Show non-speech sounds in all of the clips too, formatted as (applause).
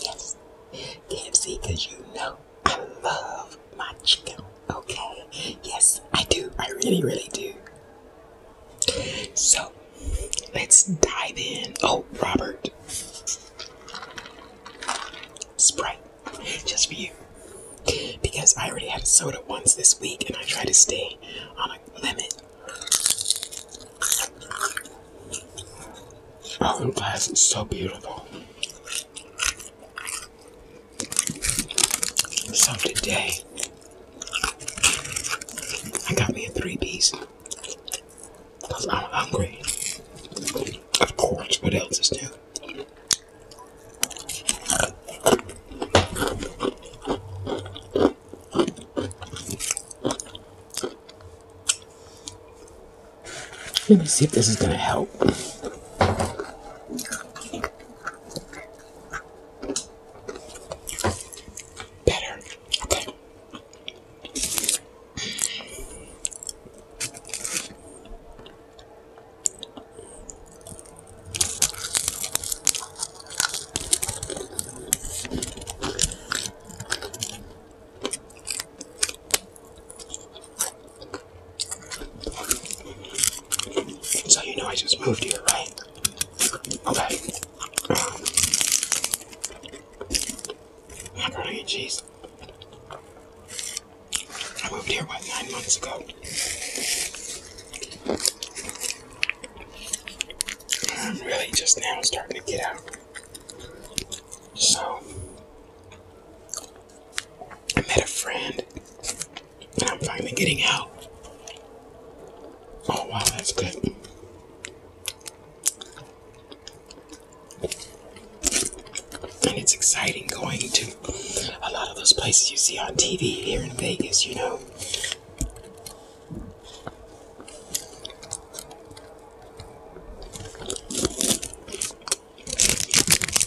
Yes, KFC, because you know I love my chicken Okay, yes, I do. I really, really do. So, let's dive in. Oh, Robert. Sprite, just for you. Because I already had a soda once this week and I try to stay on a limit. Oh, glass is so beautiful. So today, I got me a three piece. Because I'm hungry. Of course, what else is new? Let me see if this is going to help better. Okay. So you know I just moved here, right? Okay. Macaroni and cheese. I moved here, what, nine months ago? I'm really just now starting to get out. So, I met a friend and I'm finally getting out. Oh wow, that's good. And it's exciting going to a lot of those places you see on TV here in Vegas, you know.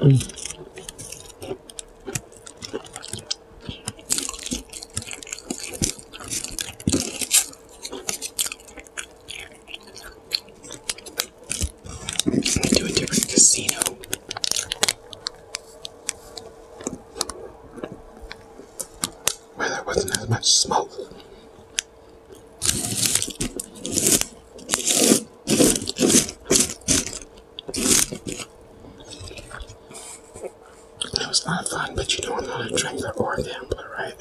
Mm. to a different casino. Well, there wasn't as much smoke. That was not fun, but you know I'm not a drinker or gambler, right?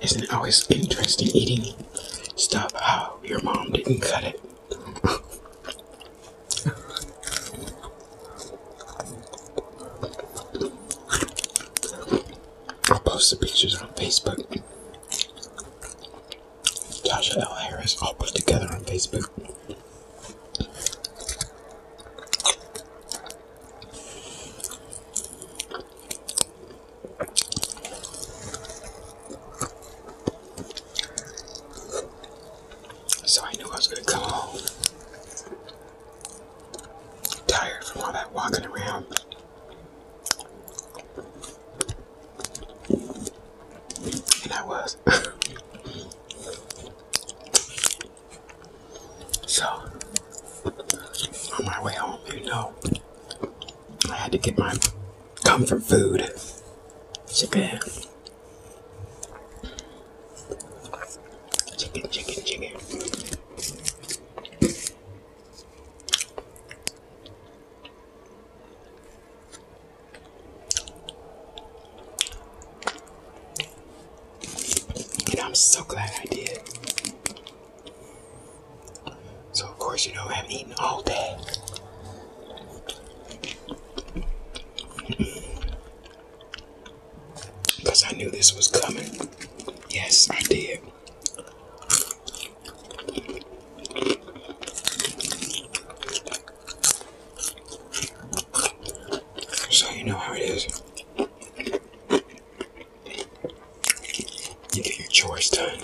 Isn't it always interesting eating stuff how oh, your mom didn't cut it? I'll post the pictures on Facebook. Tasha L. Harris, all put together on Facebook. So I knew I was gonna come home tired from all that walking around. And I was. (laughs) So, on my way home, you know, I had to get my comfort food. Chicken. Chicken, chicken, and I'm so glad I did. So, of course, you know, I have eaten all day. Because I knew this was coming. Yes, I did. So, you know how it is. You get your chores done.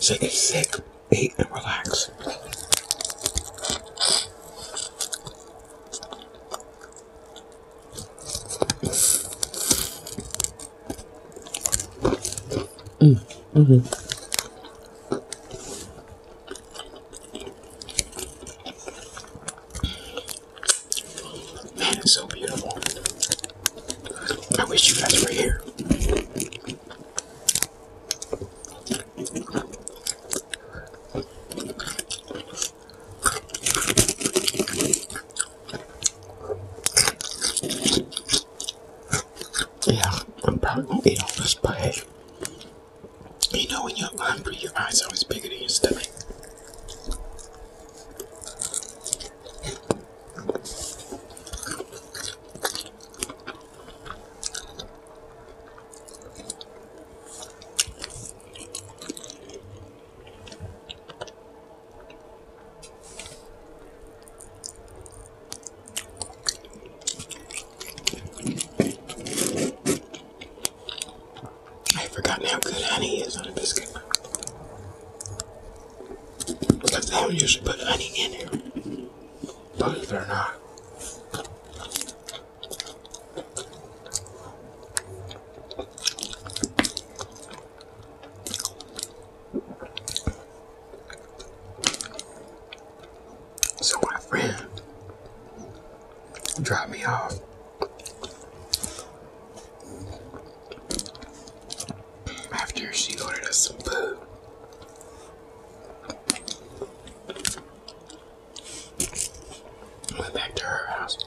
Take a sick, eat, and relax. Mm, mm-hmm. Man, it's so beautiful. I wish you guys were here. Yeah, I'm probably gonna eat all this pie. You know, when you're hungry, your eyes are always bigger than your stomach. I've forgotten how good honey is on a biscuit. Because they don't usually put honey in it. Believe it or not. So my friend drop me off. After she ordered us some food. Went back to her house.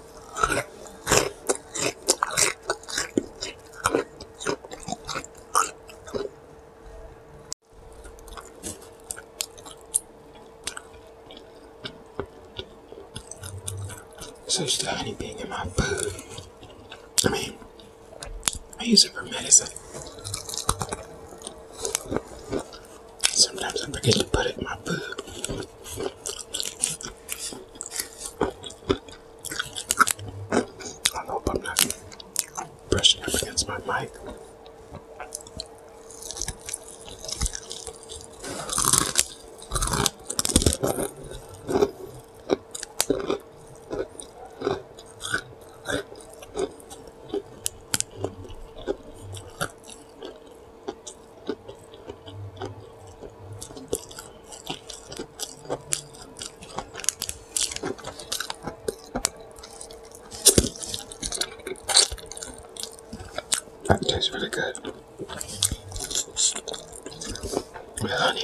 So the honey being in my food. I mean, I use it for medicine. Sometimes I forget to put it in my food. I hope I'm not brushing up against my mic. That tastes really good. honey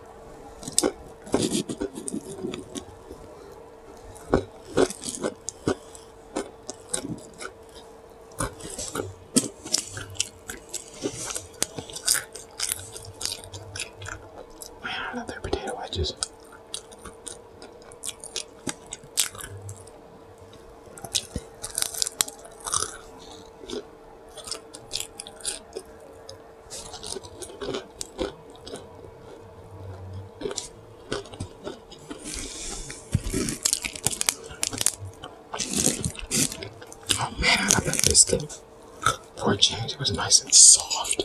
Another potato wedges. Oh man, I love that biscuit. Poor James, it was nice and soft.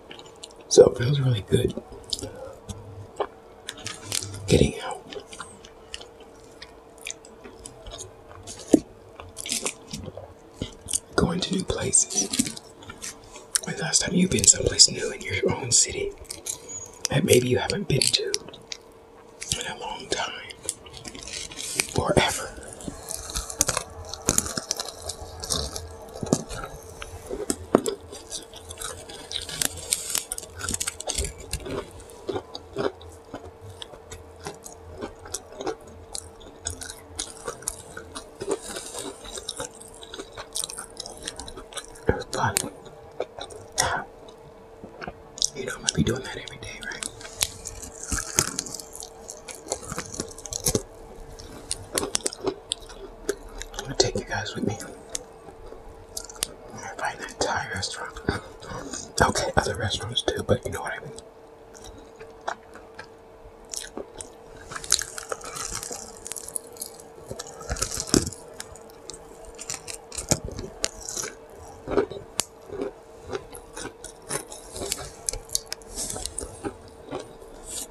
So it feels really good getting out. Going to new places. When last time you've been someplace new in your own city that maybe you haven't been to in a long time. Forever. Fun. You know, I might be doing that every day, right? I'm gonna take you guys with me. find that Thai restaurant. Okay, other restaurants too, but you know what I mean.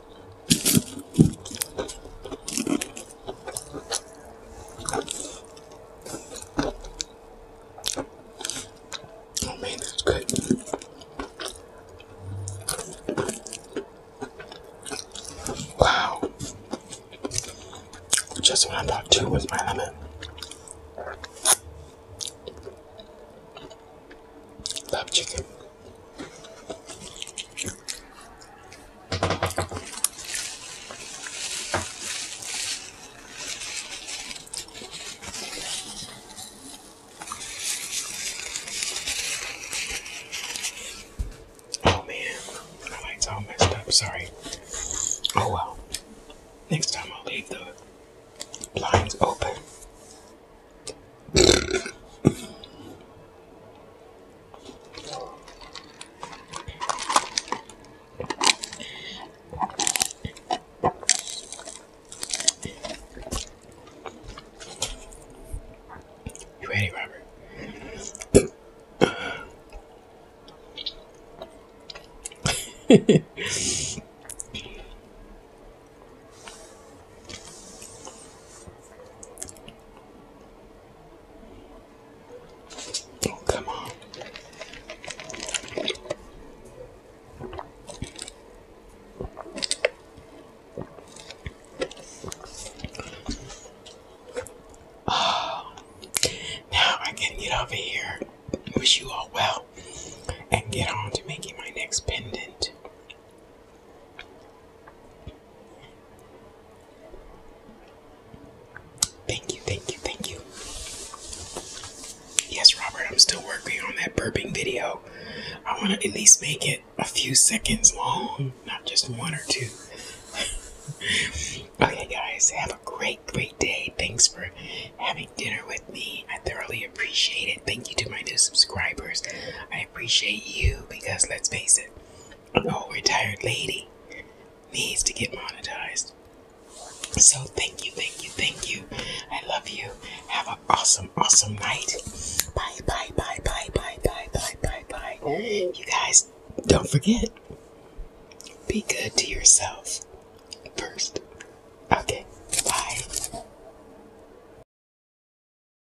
Oh man, that's good. Wow. Just what I thought too was my lemon. Love chicken. Oh man, my light's all messed up. Sorry. Oh well. Next time I'll leave the blinds open you ready, Robert? (laughs) Oh, come on. Oh, now I can get over here. Wish you all well and get on to making my next pendant. Thank you, thank you, thank you. Yes, Robert, I'm still working on that burping video. I want to at least make it a few seconds long, not just one or two. (laughs) okay, guys, have a great, great day. Thanks for having dinner with me. I thoroughly appreciate it. Thank you to my new subscribers appreciate you because let's face it, an old retired lady needs to get monetized. So thank you, thank you, thank you. I love you. Have an awesome, awesome night. Bye, bye, bye, bye, bye, bye, bye, bye, bye. Oh. You guys, don't forget, be good to yourself first. Okay, bye.